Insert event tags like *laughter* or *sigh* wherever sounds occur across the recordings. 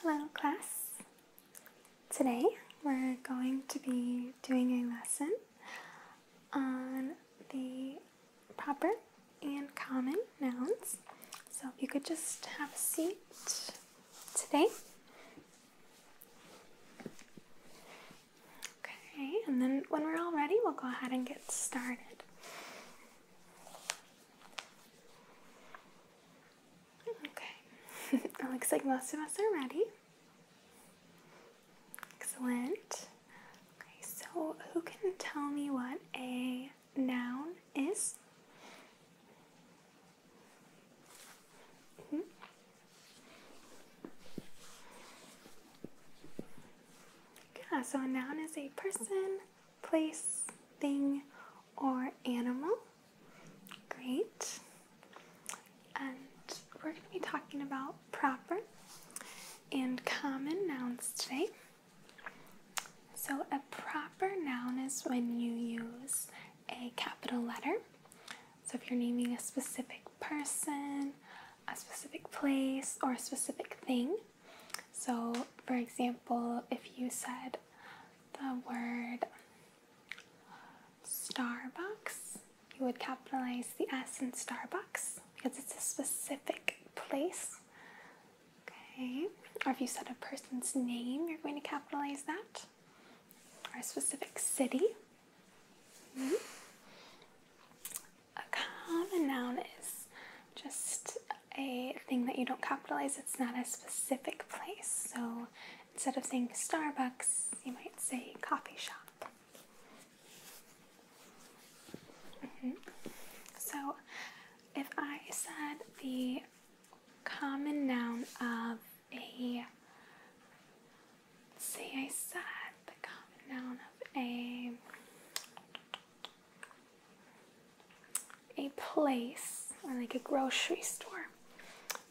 Hello class. Today we're going to be doing a lesson on the proper and common nouns. So if you could just have a seat today. Okay, and then when we're all ready, we'll go ahead and get started. Okay, it *laughs* looks like most of us are ready. Excellent. Okay, so who can tell me what a noun is? Mm Yeah, so a noun is a person, place, thing, or animal. Great. And we're going to be talking about proper and common nouns today. So, a proper noun is when you use a capital letter. So, if you're naming a specific person, a specific place, or a specific thing, so, for example, if you said the word Starbucks, you would capitalize the S in Starbucks because it's a specific place. Okay, or if you said a person's name, you're going to capitalize that, or a specific city. Mm-hmm. A common noun is just a thing that you don't capitalize, it's not a specific place. So instead of saying Starbucks, you might say coffee shop. Mm-hmm. So if I said the common noun of a say I said the common noun of a a place or like a grocery store,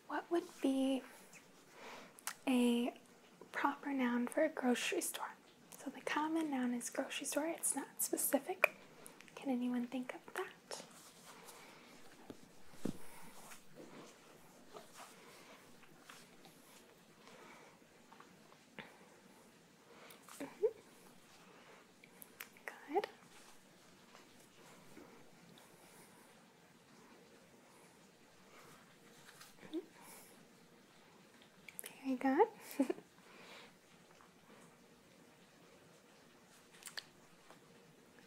what would be a proper noun for a grocery store? So the common noun is grocery store, it's not specific. Can anyone think of that? Mm-hmm. Good. Very good. *laughs*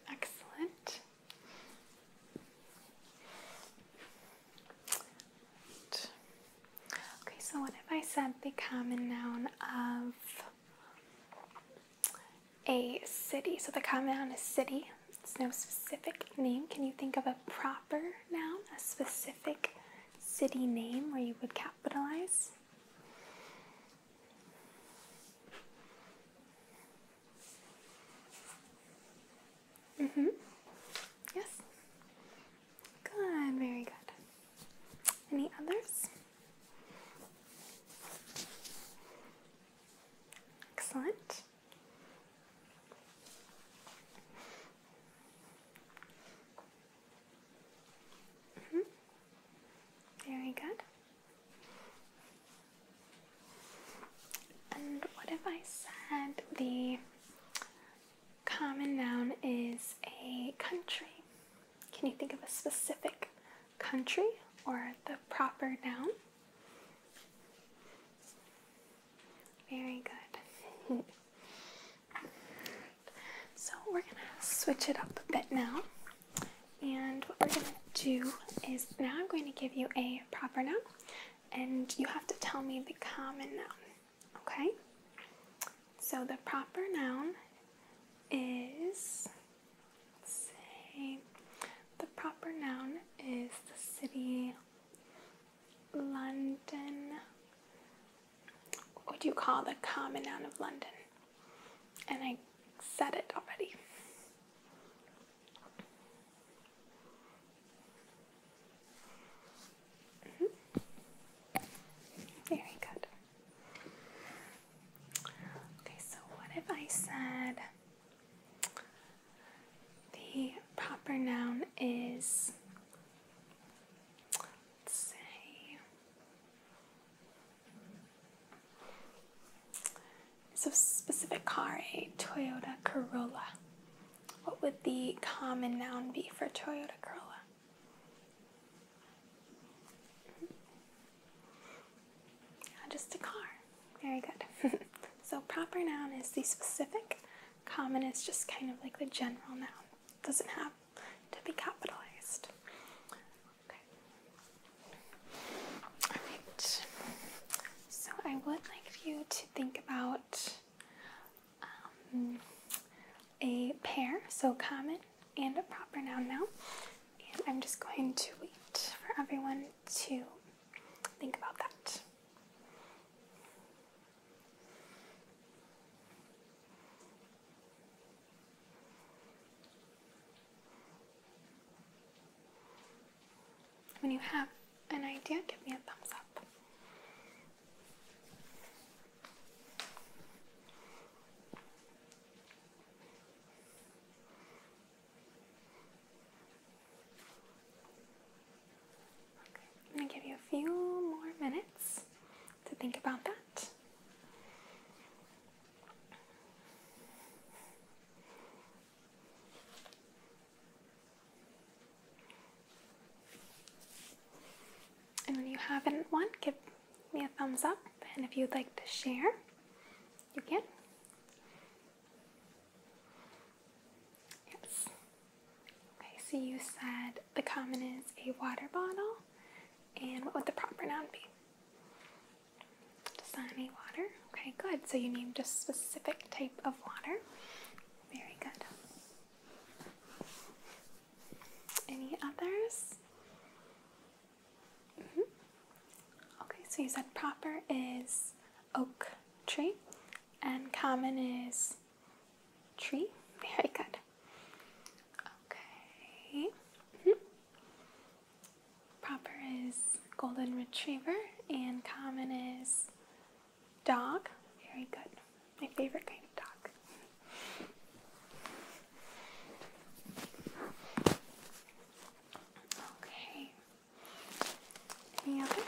Excellent. Okay, so what if I said the common noun of a city? So the common noun is city. It's no specific name. Can you think of a proper noun, a specific city name where you would capitalize? Mm-hmm. Yes. Good, very good. Any others? Excellent. Mm-hmm. Very good. And what if I said the common noun is a country? Can you think of a specific country or the proper noun? Very good. *laughs* so we're gonna switch it up a bit now. And what we're gonna do is now I'm going to give you a proper noun and you have to tell me the common noun. Okay? So the proper noun is, the proper noun is the city London. What do you call the common noun of London? And I said it already. Mm -hmm. Very good. Okay, so what if I said the proper noun is, say, it's a specific car, a Toyota Corolla. What would the common noun be for Toyota Corolla? Just a car. Very good. *laughs* so proper noun is the specific. Common is just kind of like the general noun. doesn't have to be capitalized. Okay. Alright. So I would like you to think about um, a pair, so common and a proper noun now. And I'm just going to wait for everyone to think about that. When you have an idea, give me a thumbs up. I'm going to give you a few more minutes to think about that. And when you haven't won, give me a thumbs up. And if you'd like to share, you can. Yes. Okay, so you said the common is a water bottle. And what would the proper noun be? Dasani water. Okay, good. So you named a specific type of water. Very good. Any others? Mm-hmm. Okay, so you said proper is oak tree and common is tree. *laughs* Very good. Okay. Mm-hmm. Proper is golden retriever and common is dog. Very good. My favorite kind of dog. Okay. Any others?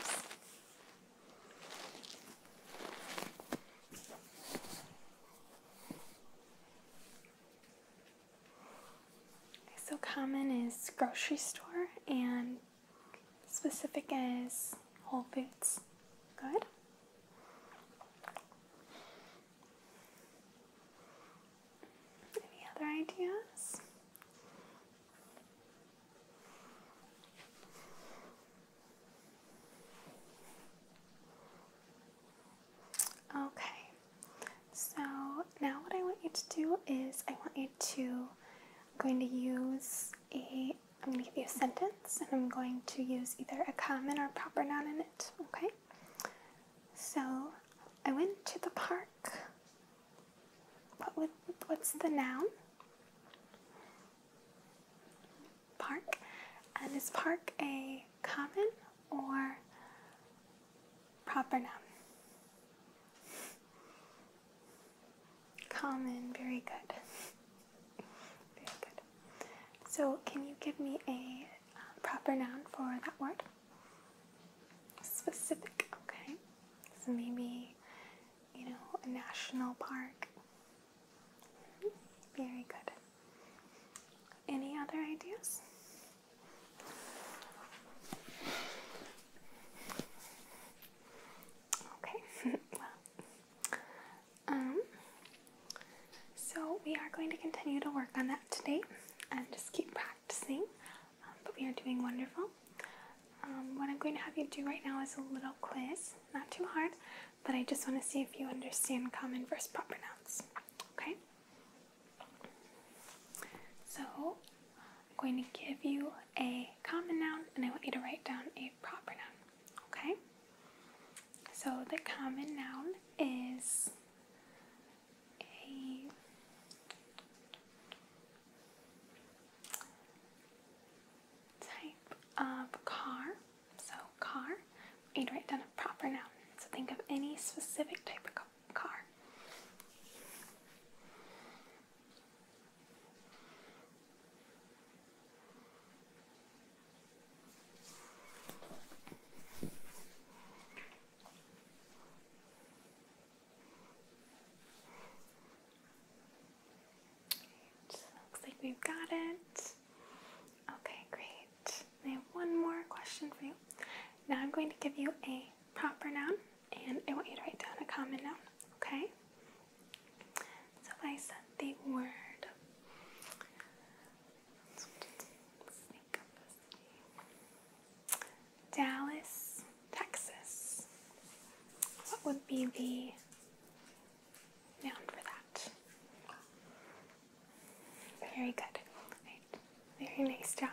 So common is grocery store and specific is Whole Foods. Good. Any other ideas? Okay, so now what I want you to do is I want you to, I'm going to use a I'm going to give you a sentence and I'm going to use either a common or proper noun in it, okay? So, I went to the park. What would, what's the noun? Park. And is park a common or proper noun? Common, very good. Very good. So, can you give me a uh, proper noun for that word? Specific, okay. So maybe, you know, a national park. Very good. Any other ideas? Okay, *laughs* well, um, so we are going to continue to work on that today and just keep practicing. Um, but we are doing wonderful. Um, what I'm going to have you do right now is a little quiz, not too hard, but I just want to see if you understand common versus proper nouns. Okay? So I'm going to give you a common noun and I want you to write down a proper noun. Okay? So the common noun is a type of car. So, car. We need to write down a proper noun. So, think of any specific type of car. Looks like we've got it. Okay, great. I have one more question for you. Now I'm going to give you a proper noun and I want you to write down a common noun, okay? So I said the word. Dallas, Texas. What would be the noun for that? Very good. Very nice job.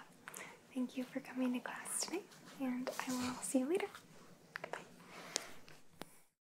Thank you for coming to class today, and I will see you later. Goodbye.